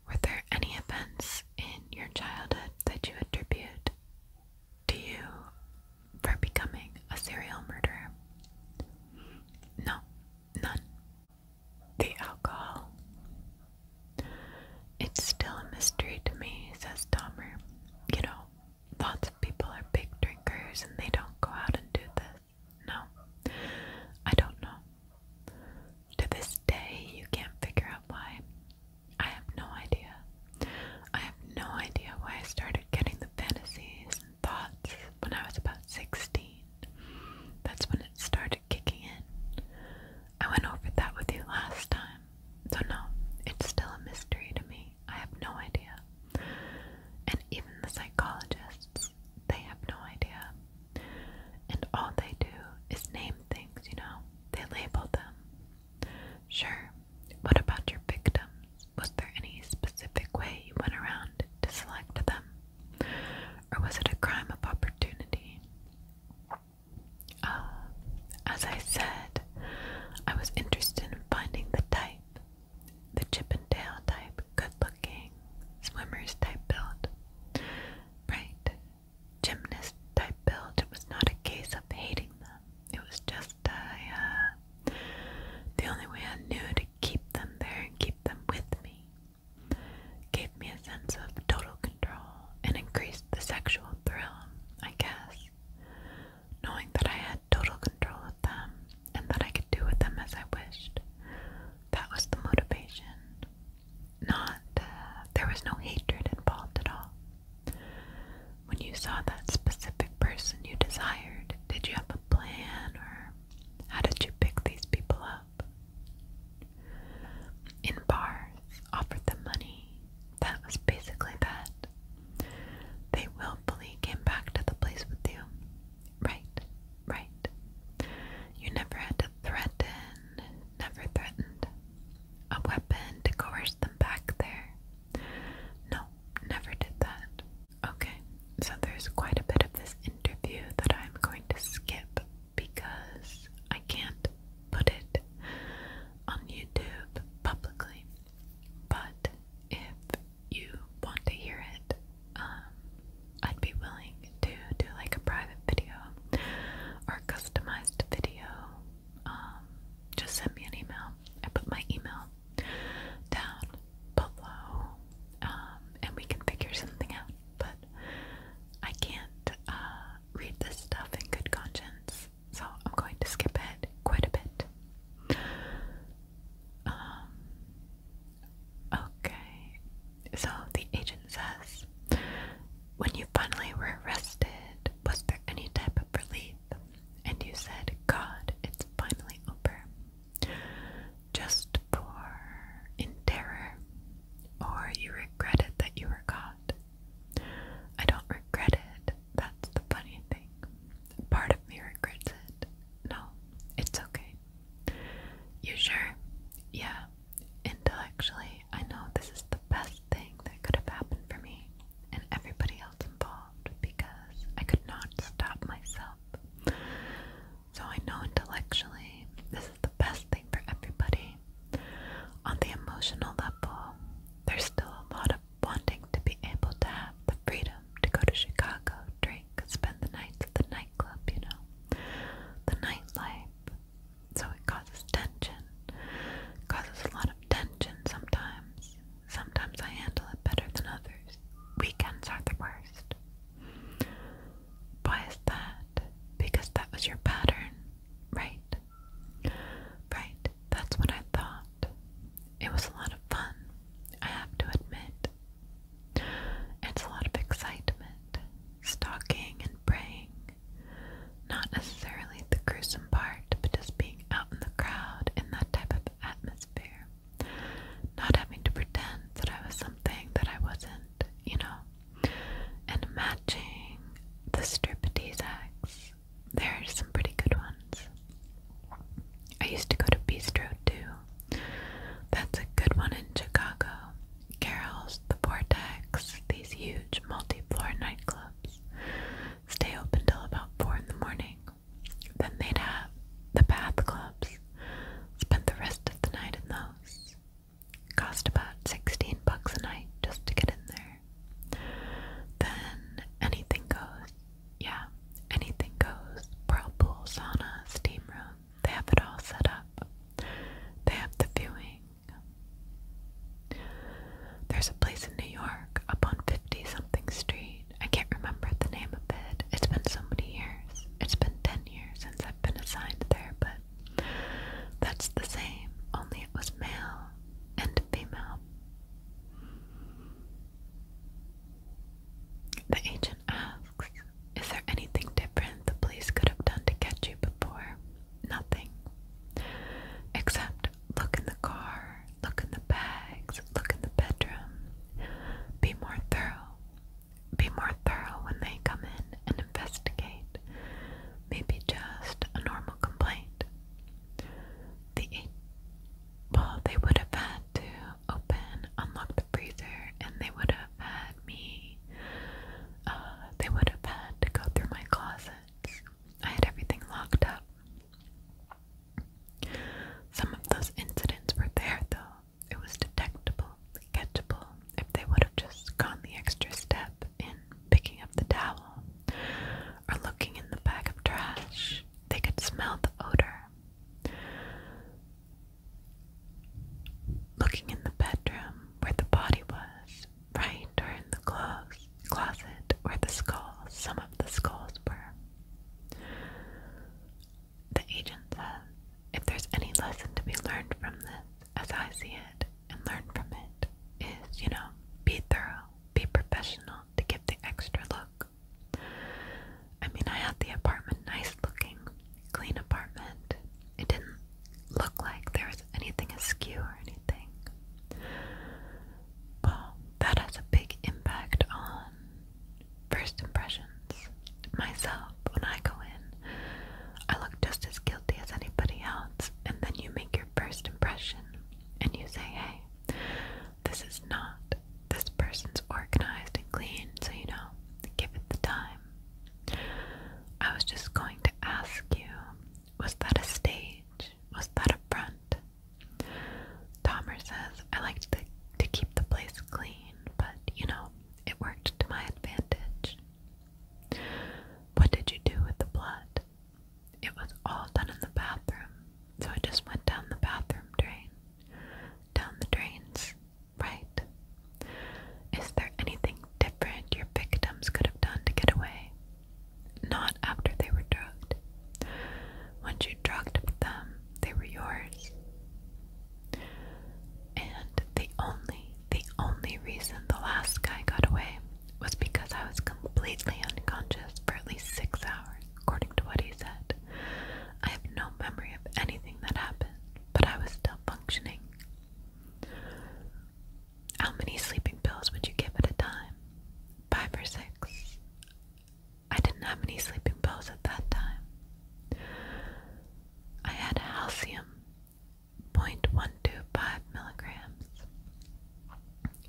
Were there any events in your childhood that you attribute to you for becoming a serial murderer? No, none. The alcohol. It's still a mystery to me, says Dahmer. You know, lots of people are big drinkers and they don't go out and do this. No, I don't know. To this day, you can't figure out why. I have no idea. I have no idea why I started getting the fantasies and thoughts when I was about 16. That's when it started kicking in. I went over that with you last time. So, no, it's still a mystery to me. I have no idea. And even the psychologists, they have no idea. And all they do is name things, you know? They label them. Sure, what about your victims? Was there any specific way you went around to select them? Or was it a crime of opportunity? Uh, as I said, I was interested in finding the type, the Chippendale type, good looking, swimmers type build, right? Gymnast type build. It was not a case of hating them, it was just uh, the only way I knew to keep them there and keep them with me Gave me a sense of total control and increased the sexual thrill, I guess. Knowing that I had total control of them and that I could do with them as I wished. That was the motivation. Not, uh, there was no hatred involved at all. When you saw that specific person you desired, did you have a plan or how did you pick these people up? up. In bars, offered them money. That was basically that. They willfully came back to the place with you. Right, right. You never had to threaten, never threatened a weapon to coerce them back there. No, never did that. Okay, so there's quite a bit of this interview that I'm going to skip because I can't put it on YouTube publicly. But if you want to hear it, um, I'd be willing to do like a private video or customized video. Um, just send me an email. I put my email down below, um, and we can figure something out but I can't uh, read this stuff in good conscience, so I'm going to skip ahead quite a bit. Um, okay, so the agent says, When you finally were arrested, was there any type of relief? And you said, God, it's finally over just for in terror, or you regret it that you were caught. I don't regret it. That's the funny thing. Part of me regrets it. No, it's okay. You sure? Yeah. Intellectually, I know this is the best thing that could have happened for me and everybody else involved because I could not stop myself. So I know intellectually this is the best thing for everybody. On the emotional level, there's still a lot of wanting to be able to have the freedom to go to Chicago, drink, spend the nights at the nightclub, you know, the nightlife. So it causes tension, it causes a lot of tension sometimes. Sometimes I handle it better than others. Weekends are the worst. Why is that? Because that was your pattern, right? Right, that's what I thought. It was a lot of fun, I have to admit. It's a lot of excitement, stalking and praying. Not necessarily the gruesome part, but just being out in the crowd in that type of atmosphere. Not having to pretend that I was something that I wasn't, you know. And matching the striptease acts, there are some pretty good ones. I used to go to Bistro too. That's a good one in Chicago. Carol's, the Vortex, these huge multi-floor nightclubs stay open till about four in the morning. Then they'd have the bath clubs. Spend the rest of the night in those. Cost about 16 bucks a night just to get in there. Then anything goes. Yeah, anything goes. Whirlpool, sauna, steam room. They have it all set up. They have the viewing. There's a place in New York up on 50 something street. I can't remember the name of it. It's been so many years. It's been 10 years since I've been assigned there, but that's the same, only it was male and female. The agent asks, Is there anything different the police could have done to catch you before? Nothing. Except look in the car, look in the bags, look in the bedroom. Be more thorough be more thorough when they come in and investigate, maybe just a normal complaint. The well, they would have had to open, unlock the freezer, and they would have had me, uh, they would have had to go through my closets. I had everything locked up. Some of those incidents were there, though. It was detectable, catchable, if they would have just gone the extra step in picking up the towel or looking in the bag of trash. They could smell the odor. Looking in the bedroom where the body was, right, or in the clothes closet where the skulls, some of the skulls were. The agent says if there's any lesson to be learned from this, as I see it, and learn from it, is, you know, be thorough, be professional to give the extra look. I mean, I had the apartment nice looking, clean apartment. It didn't look like there was anything askew or anything. Well, that has a big impact on first impressions. Myself, when I go in. I look just as guilty as anybody else, and then you make your first impression and you say, hey, this is not, this person's organized and clean, so you know, give it the time. I was just going to ask you, was that a stage? Was that a front? Tomer says, I like to, to keep the place clean, but you know, it worked to my advantage. What did you do with the blood? It was all done in the bathroom, so it just went down the bathroom drain. Down the drains, right? Is there anything different your victims could have done to get away? Not after they were drugged. Once you drugged them, they were yours. And the only, the only reason the last guy got away was because I was completely unconscious for at least six hours, according to what he said. I have no memory of anything that happened, but I was still functioning. How many sleeping pills would you give at a time? Five or six? I didn't have any sleeping pills at that time. I had halcium 0.125 milligrams.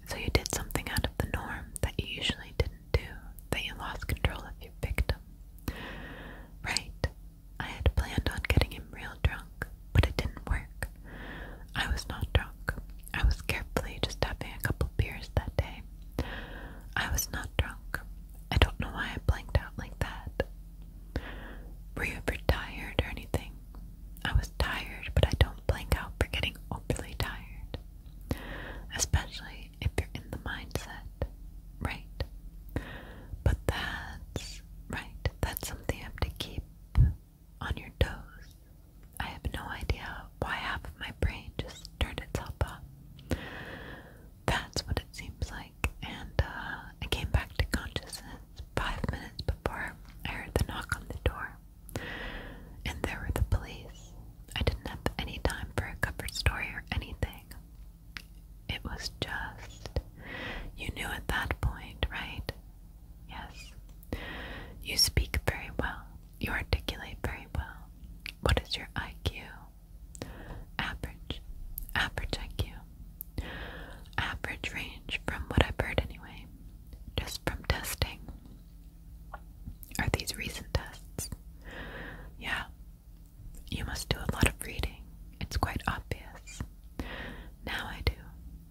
So you did something out of the norm that you usually didn't do, that you lost control of your victim. Right, I had planned on getting him real drunk, but it didn't work. I was not drunk. I was carefully just having a couple beers that day. I was not drunk. I don't know why I blanked out like that. Were you ever tired or anything? I was tired, but I don't blank out for getting overly tired. Especially if you're in the mindset, right? But that's right, that's something you have to keep on your toes. I have no idea why half of my brain just turned itself up. That's what it seems like and uh, I came back to consciousness five minutes before I heard the knock on the door. And there were the police. I didn't have any time for a covered story or anything. It was just, you knew at that point, right? Yes. You speak very well. You articulate very well. What is your IQ? Average. Average IQ. Average range from what I've heard anyway, just from testing. Are these recent tests? Yeah. You must do a lot of reading. It's quite obvious. Now I do.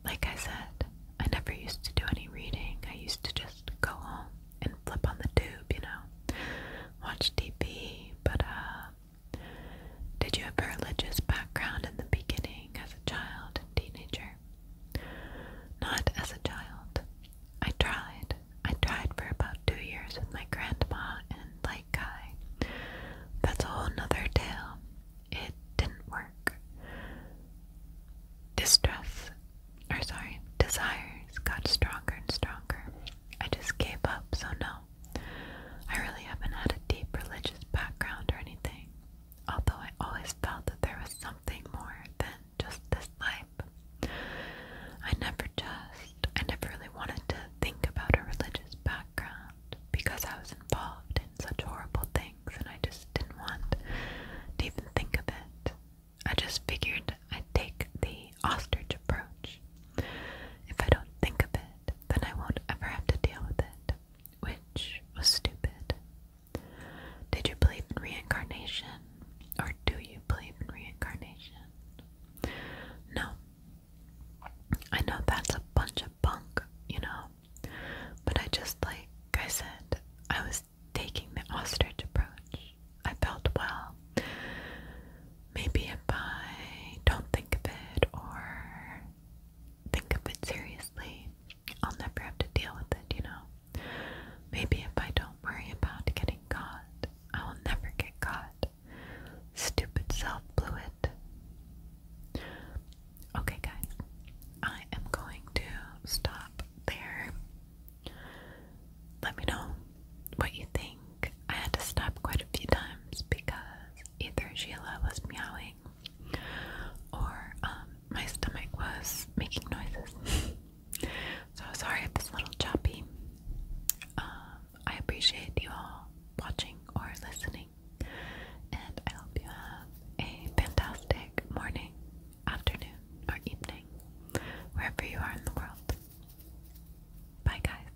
Like I said, I never used to do any reading. I used to just go home and flip on the tube, you know, watch TV, but uh, did you have a religious background in the beginning as a child and teenager? Not as a child. I tried. I tried for about two years with my grandma and like Guy. That's a whole nother tale. It didn't work. Distress, or sorry, desires got stronger and stronger. I just gave up, so no, I really haven't had a deep religious background or anything, although I always felt that there was something more than just this life. I never just, I never really wanted to think about a religious background because I was involved in such horrible things and I just didn't want to even think of it. I just figured I'd take the ostrich approach if I don't think of it, then I won't ever have to deal with it, which was stupid. Did you believe in reincarnation? Or do you believe in reincarnation? No. I know that's a bunch of bunk, you know, but I just, like I said, I was taking the ostrich approach. I felt, well, maybe if I don't think of it or think of it seriously, I'll never have to deal with it, you know? Maybe if I don't worry about getting caught, I will never get caught. Stupid self blew it. Okay, guys, I am going to stop there. Let me know what you think. I had to stop quite a few times because either Sheila was meowing or um, my stomach was making noises. [laughs] so sorry if this is a little choppy. Um, I appreciate you all watching or listening, and I hope you have a fantastic morning, afternoon, or evening, wherever you are in the world. Bye, guys.